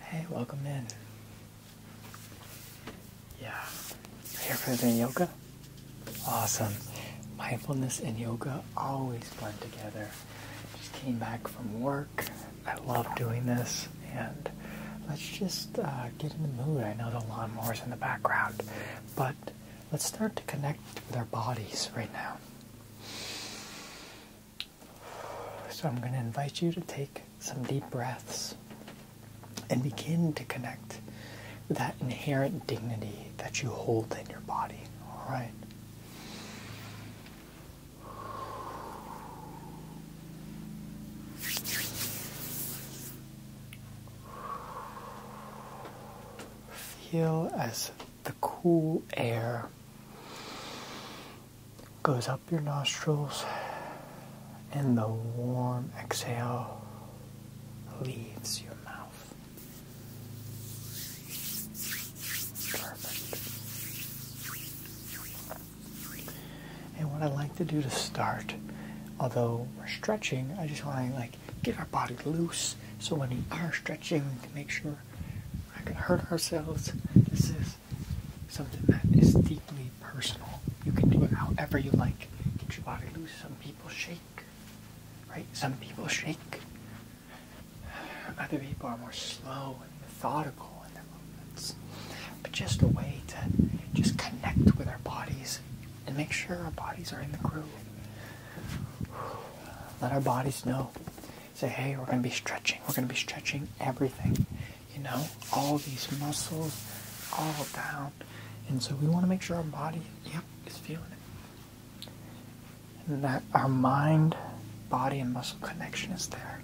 Hey, welcome in. Yeah. Here for the yoga? Awesome. Mindfulness and yoga always blend together. Just came back from work. I love doing this. And let's just uh, get in the mood. I know the lawnmower's in the background, but let's start to connect with our bodies right now. So I'm going to invite you to take some deep breaths and begin to connect that inherent dignity that you hold in your body. All right. Feel as the cool air goes up your nostrils and the warm exhale leaves your mouth. Perfect. And what I like to do to start, although we're stretching, I just want to like get our body loose so when we are stretching we can make sure we're not going to hurt ourselves. This is something that is deeply personal. You can do it however you like. Get your body loose. Some people shake, right? Some people shake. Other people are more slow and methodical in their movements. But just a way to just connect with our bodies and make sure our bodies are in the groove. Let our bodies know say, hey, we're going to be stretching. We're going to be stretching everything, you know, all these muscles, all down. And so we want to make sure our body, yep, is feeling it. And that our mind, body, and muscle connection is there.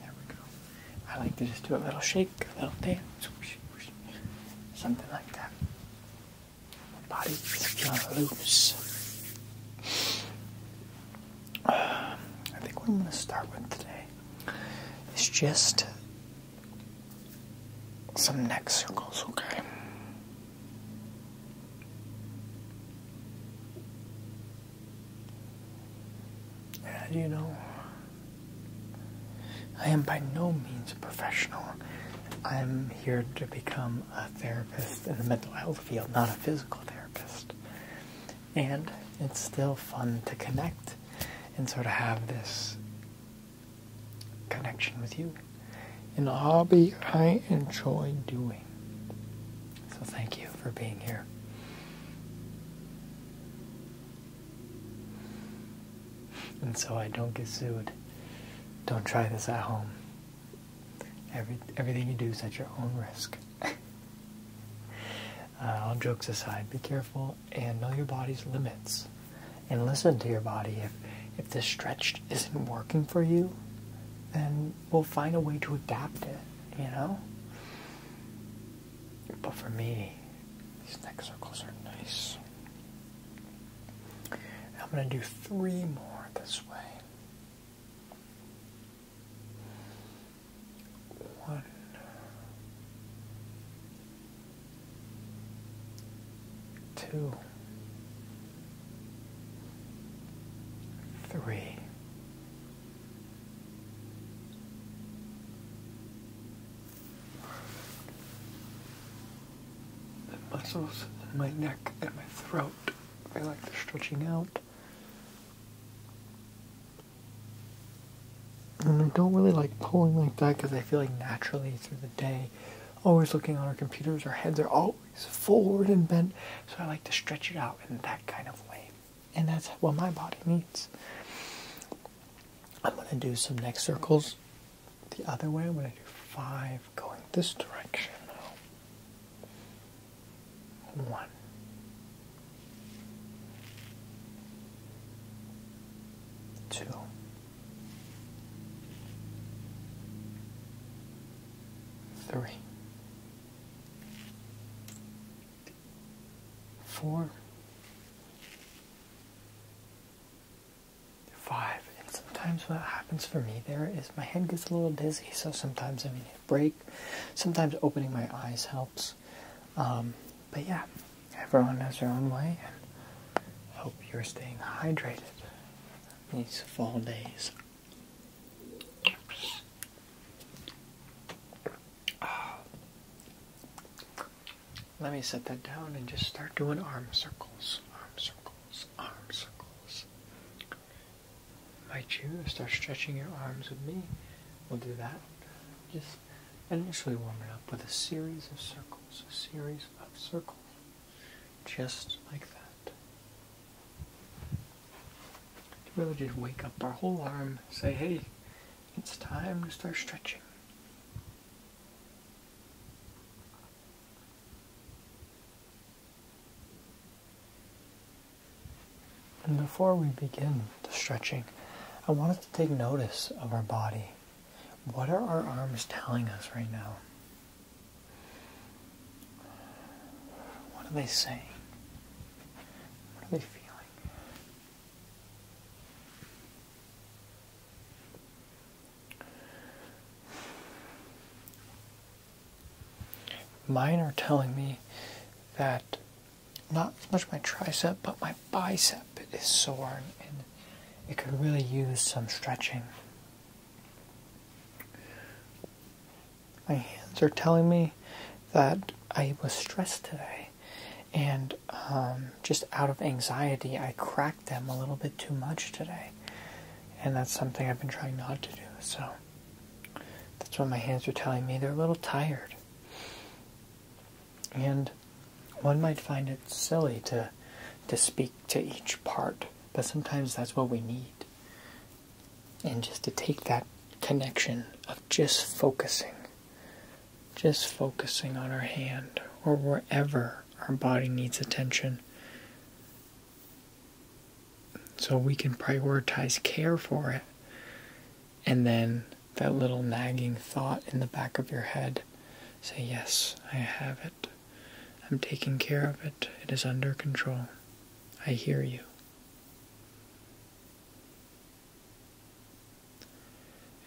There we go. I like to just do a little shake, a little dance, something like that body loose. I think what I'm going to start with today is just some neck circles, okay? And you know, I am by no means a professional. I'm here to become a therapist in the mental health field, not a physical therapist. And it's still fun to connect and sort of have this connection with you in a hobby I enjoy doing. So thank you for being here. And so I don't get sued. Don't try this at home. Every, everything you do is at your own risk. Uh, all jokes aside, be careful and know your body's limits. And listen to your body. If, if the stretch isn't working for you, then we'll find a way to adapt it, you know? But for me, these neck circles are nice. I'm going to do three more this way. One, two, three the muscles in my neck and my throat. I like the stretching out. And I don't really like pulling like that because I feel like naturally through the day, always looking on our computers, our heads are always forward and bent. So I like to stretch it out in that kind of way. And that's what my body needs. I'm going to do some neck circles the other way. I'm going to do five going this direction now five. And sometimes what happens for me there is my head gets a little dizzy, so sometimes I need a break. Sometimes opening my eyes helps. Um, but yeah, everyone has their own way, and hope you're staying hydrated these fall days. Let me set that down and just start doing arm circles, arm circles, arm circles. Might you start stretching your arms with me? We'll do that. Just initially warm it up with a series of circles, a series of circles, just like that. Really just wake up our whole arm, say, hey, it's time to start stretching. And before we begin the stretching, I want us to take notice of our body. What are our arms telling us right now? What are they saying? What are they feeling? Mine are telling me that not so much my tricep, but my bicep is sore and it could really use some stretching. My hands are telling me that I was stressed today and um, just out of anxiety, I cracked them a little bit too much today. And that's something I've been trying not to do. So that's what my hands are telling me. They're a little tired. And one might find it silly to to speak to each part, but sometimes that's what we need. And just to take that connection of just focusing, just focusing on our hand or wherever our body needs attention, so we can prioritize care for it. And then that little nagging thought in the back of your head say, Yes, I have it. I'm taking care of it. It is under control. I hear you.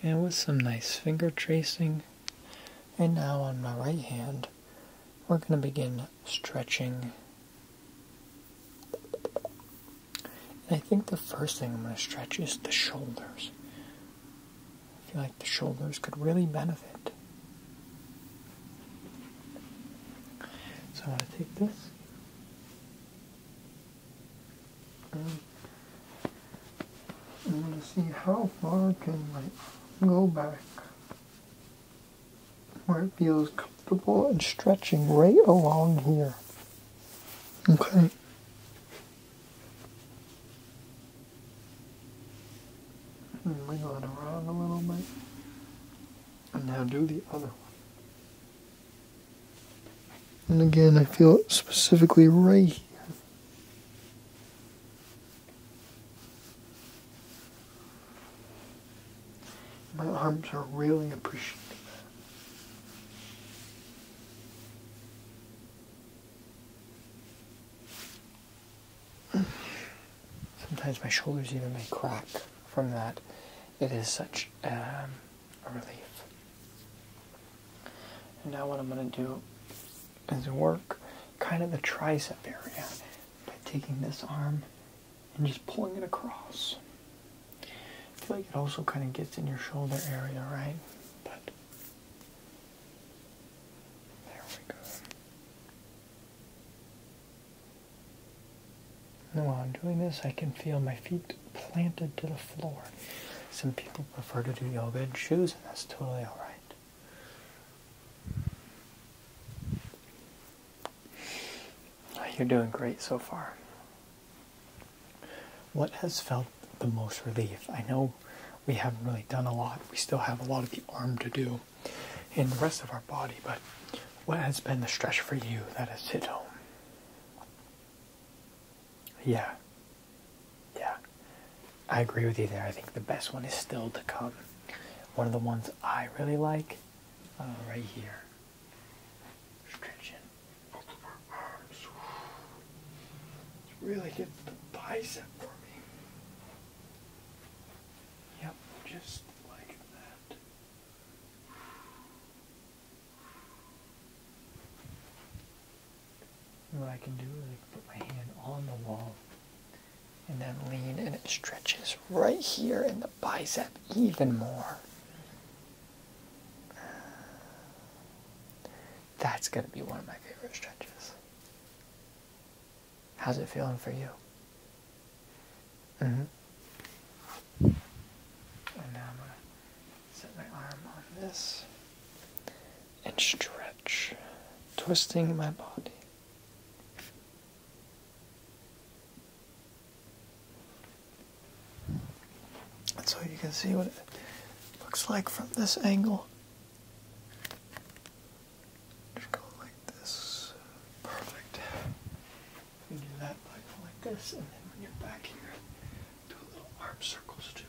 And with some nice finger tracing, and now on my right hand, we're going to begin stretching. I think the first thing I'm going to stretch is the shoulders. I feel like the shoulders could really benefit. So I'm going to take this. I want to see how far can I go back where it feels comfortable and stretching right along here. Okay. And wiggle it around a little bit. And now do the other one. And again, I feel it specifically right here. My arms are really appreciating Sometimes my shoulders even may crack from that. It is such um, a relief. And now, what I'm going to do doesn't work, kind of the tricep area, by taking this arm and just pulling it across. I feel like it also kind of gets in your shoulder area, right? But there we go. Now while I'm doing this, I can feel my feet planted to the floor. Some people prefer to do yoga in shoes, and that's totally alright. You're doing great so far. What has felt the most relief? I know we haven't really done a lot. We still have a lot of the arm to do in the rest of our body, but what has been the stretch for you that has hit home? Yeah, yeah, I agree with you there. I think the best one is still to come. One of the ones I really like, uh, right here. Stretching both of our arms. Really get the bicep for me. Yep, just like that what I can do is I can put my hand on the wall and then lean and it stretches right here in the bicep even more. That's going to be one of my favorite stretches. How's it feeling for you? hmm And now I'm going to set my arm on this and stretch, twisting my body. And so you can see what it looks like from this angle. Just go like this. Perfect. do that like this, and then when you're back here, do a little arm circles too.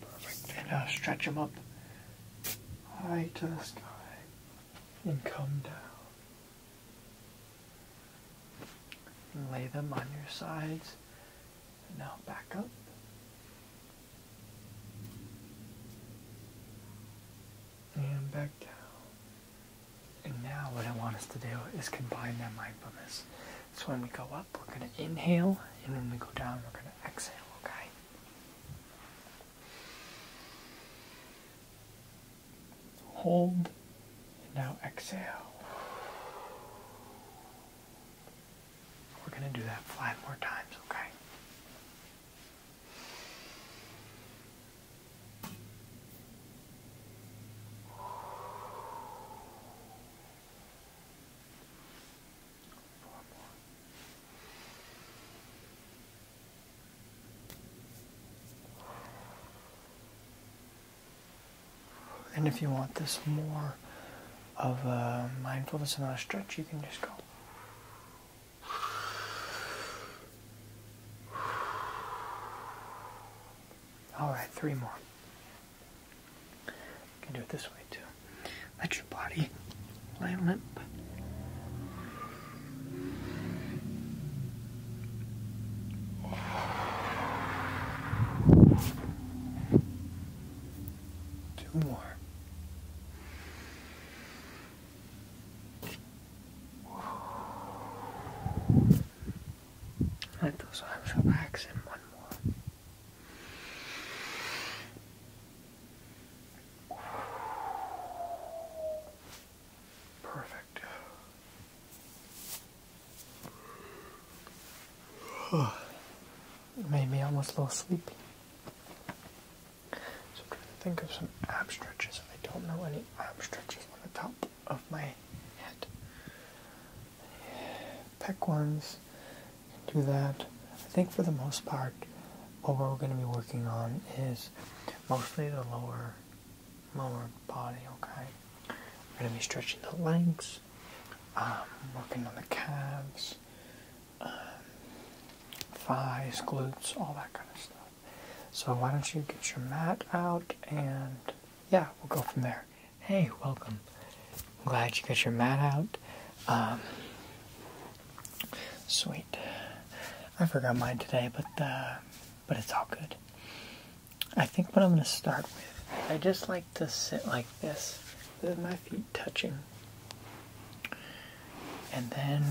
Perfect. now uh, stretch them up high to the sky and come down. And lay them on your sides. And now back up. And back down. And now what I want us to do is combine that mindfulness. So when we go up, we're going to inhale, and when we go down, we're going to exhale, okay? Hold, and now exhale. We're going to do that five more times, okay? And if you want this more of a mindfulness and not a stretch, you can just go. All right, three more. You can do it this way too. Let your body lay limp. Two more. Let those arms relax and one more. Perfect. It made me almost a little sleepy. So I'm trying to think of some ab stretches. I don't know any ab stretches on the top of my head. Pec ones, do that. I think for the most part, what we're going to be working on is mostly the lower, lower body, okay? We're going to be stretching the legs, um, working on the calves, um, thighs, glutes, all that kind of stuff. So why don't you get your mat out and yeah, we'll go from there. Hey, welcome. glad you got your mat out. Um, sweet. I forgot mine today, but uh, but it's all good. I think what I'm gonna start with, I just like to sit like this with my feet touching. And then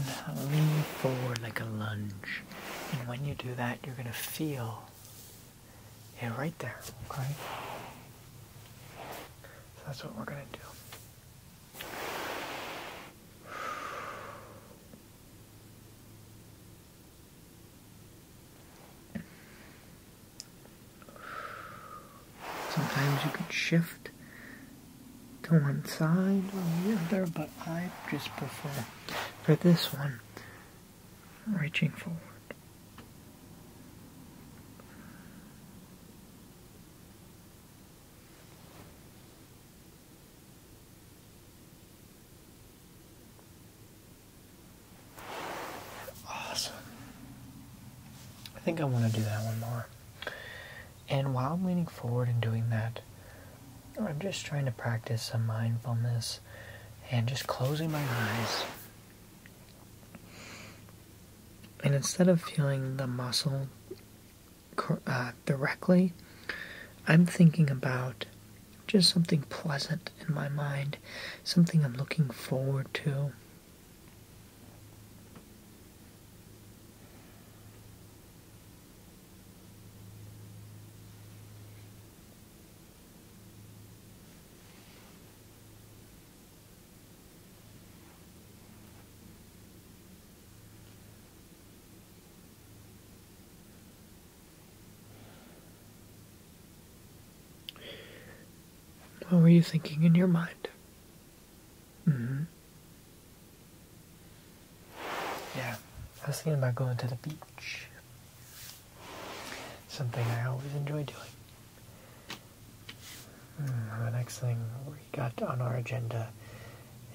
lean forward like a lunge. And when you do that, you're gonna feel yeah, right there, okay? So that's what we're gonna do. Sometimes you can shift to one side or the other, but I just prefer for this one reaching forward. Awesome. I think I want to do that one more. And while I'm leaning forward and doing that, I'm just trying to practice some mindfulness and just closing my eyes. And instead of feeling the muscle uh, directly, I'm thinking about just something pleasant in my mind, something I'm looking forward to. What were you thinking in your mind? -hmm. Yeah, I was thinking about going to the beach. Something I always enjoy doing. Hmm, the next thing we got on our agenda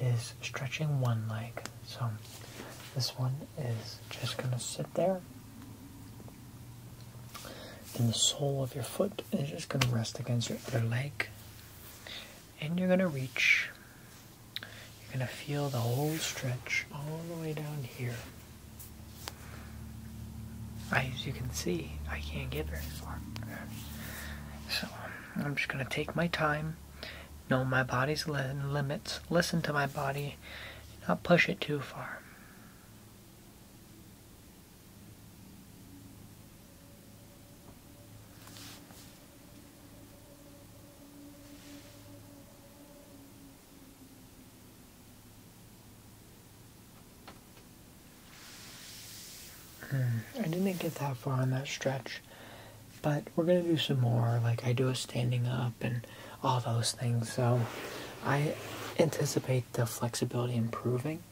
is stretching one leg. So this one is just gonna sit there. And the sole of your foot is just gonna rest against your other leg. And you're gonna reach you're going to feel the whole stretch all the way down here. As you can see, I can't get very far. So I'm just going to take my time, know my body's limits, listen to my body, not push it too far. Hmm, I didn't get that far on that stretch, but we're gonna do some more. Like I do a standing up and all those things, so I anticipate the flexibility improving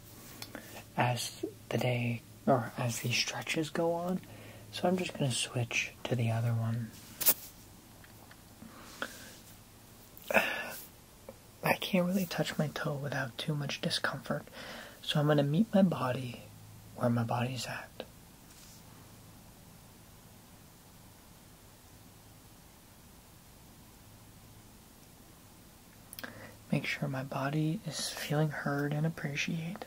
as the day or as these stretches go on. So I'm just going to switch to the other one. I can't really touch my toe without too much discomfort, so I'm going to meet my body where my body's at. Make sure my body is feeling heard and appreciated.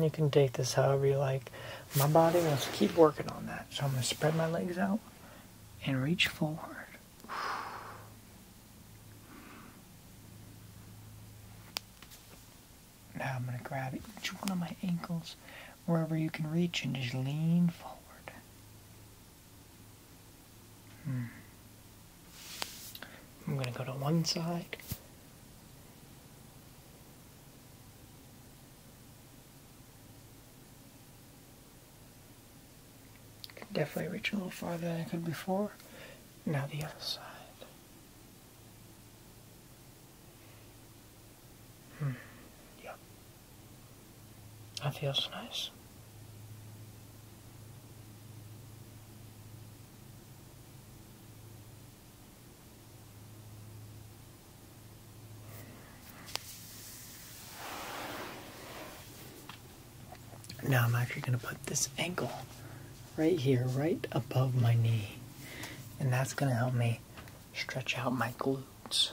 you can take this however you like. My body wants to keep working on that, so I'm going to spread my legs out and reach forward. Now I'm going to grab each one of my ankles wherever you can reach and just lean forward. Hmm. I'm going to go to one side can definitely reach a little farther than I could before. Now the other side. Hmm. Yep. That feels nice. Now I'm actually going to put this ankle right here, right above my knee. And that's going to help me stretch out my glutes,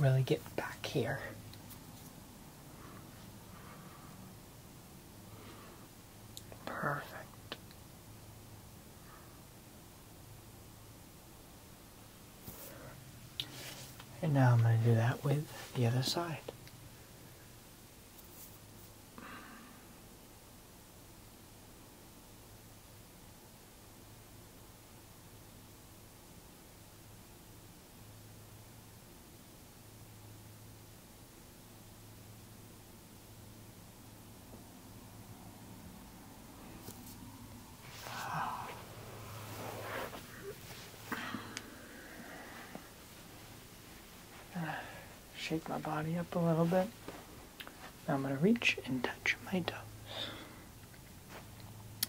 really get back here. Perfect. And now I'm going to do that with the other side. Shake my body up a little bit. Now I'm going to reach and touch my toes.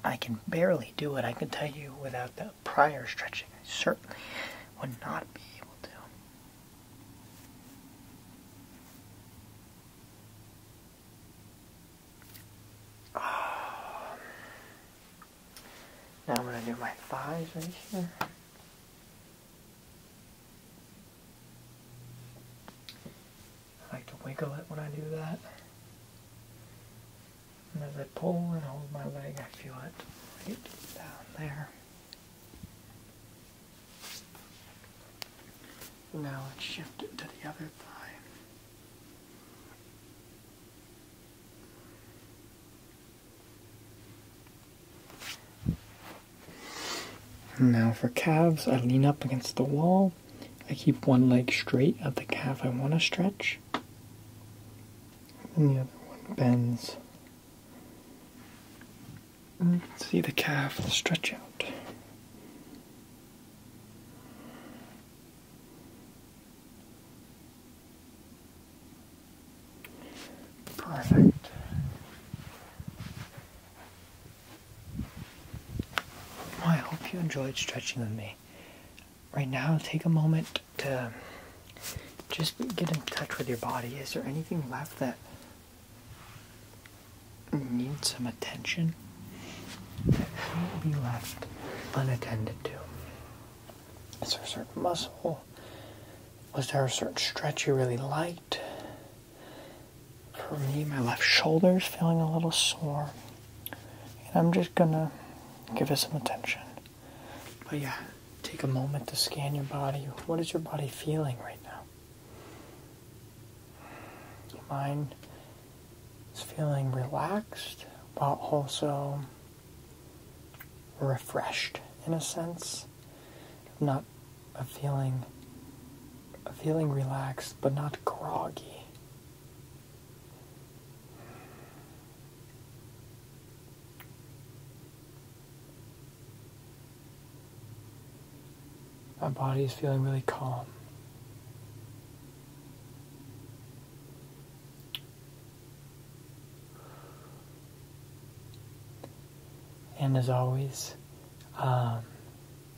I can barely do it, I can tell you, without the prior stretching. I certainly would not be able to. Ah. Now I'm going to do my thighs right here. I like to wiggle it when I do that. And as I pull and hold my leg, I feel it right down there. Now let's shift it to the other thigh. Now for calves, I lean up against the wall. I keep one leg straight at the calf I want to stretch, and the other one bends see the calf stretch out. Perfect. I hope you enjoyed stretching with me. Right now, take a moment to just get in touch with your body. Is there anything left that needs some attention that shouldn't be left unattended to? Is there a certain muscle? Was there a certain stretch you really liked? For me, my left shoulder's feeling a little sore. And I'm just gonna give it some attention. But yeah, take a moment to scan your body. What is your body feeling right now? Your mind is feeling relaxed but also refreshed in a sense. Not a feeling a feeling relaxed but not groggy. My body is feeling really calm. And as always, um,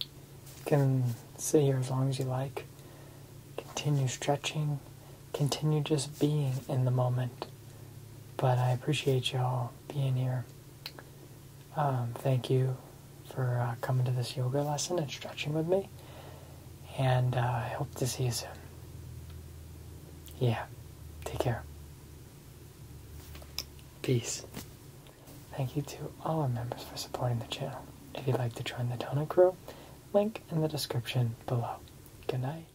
you can sit here as long as you like. Continue stretching. Continue just being in the moment. But I appreciate y'all being here. Um, thank you for uh, coming to this yoga lesson and stretching with me. And uh, I hope to see you soon. Yeah, take care. Peace. Thank you to all our members for supporting the channel. If you'd like to join the Donut Crew, link in the description below. Good night.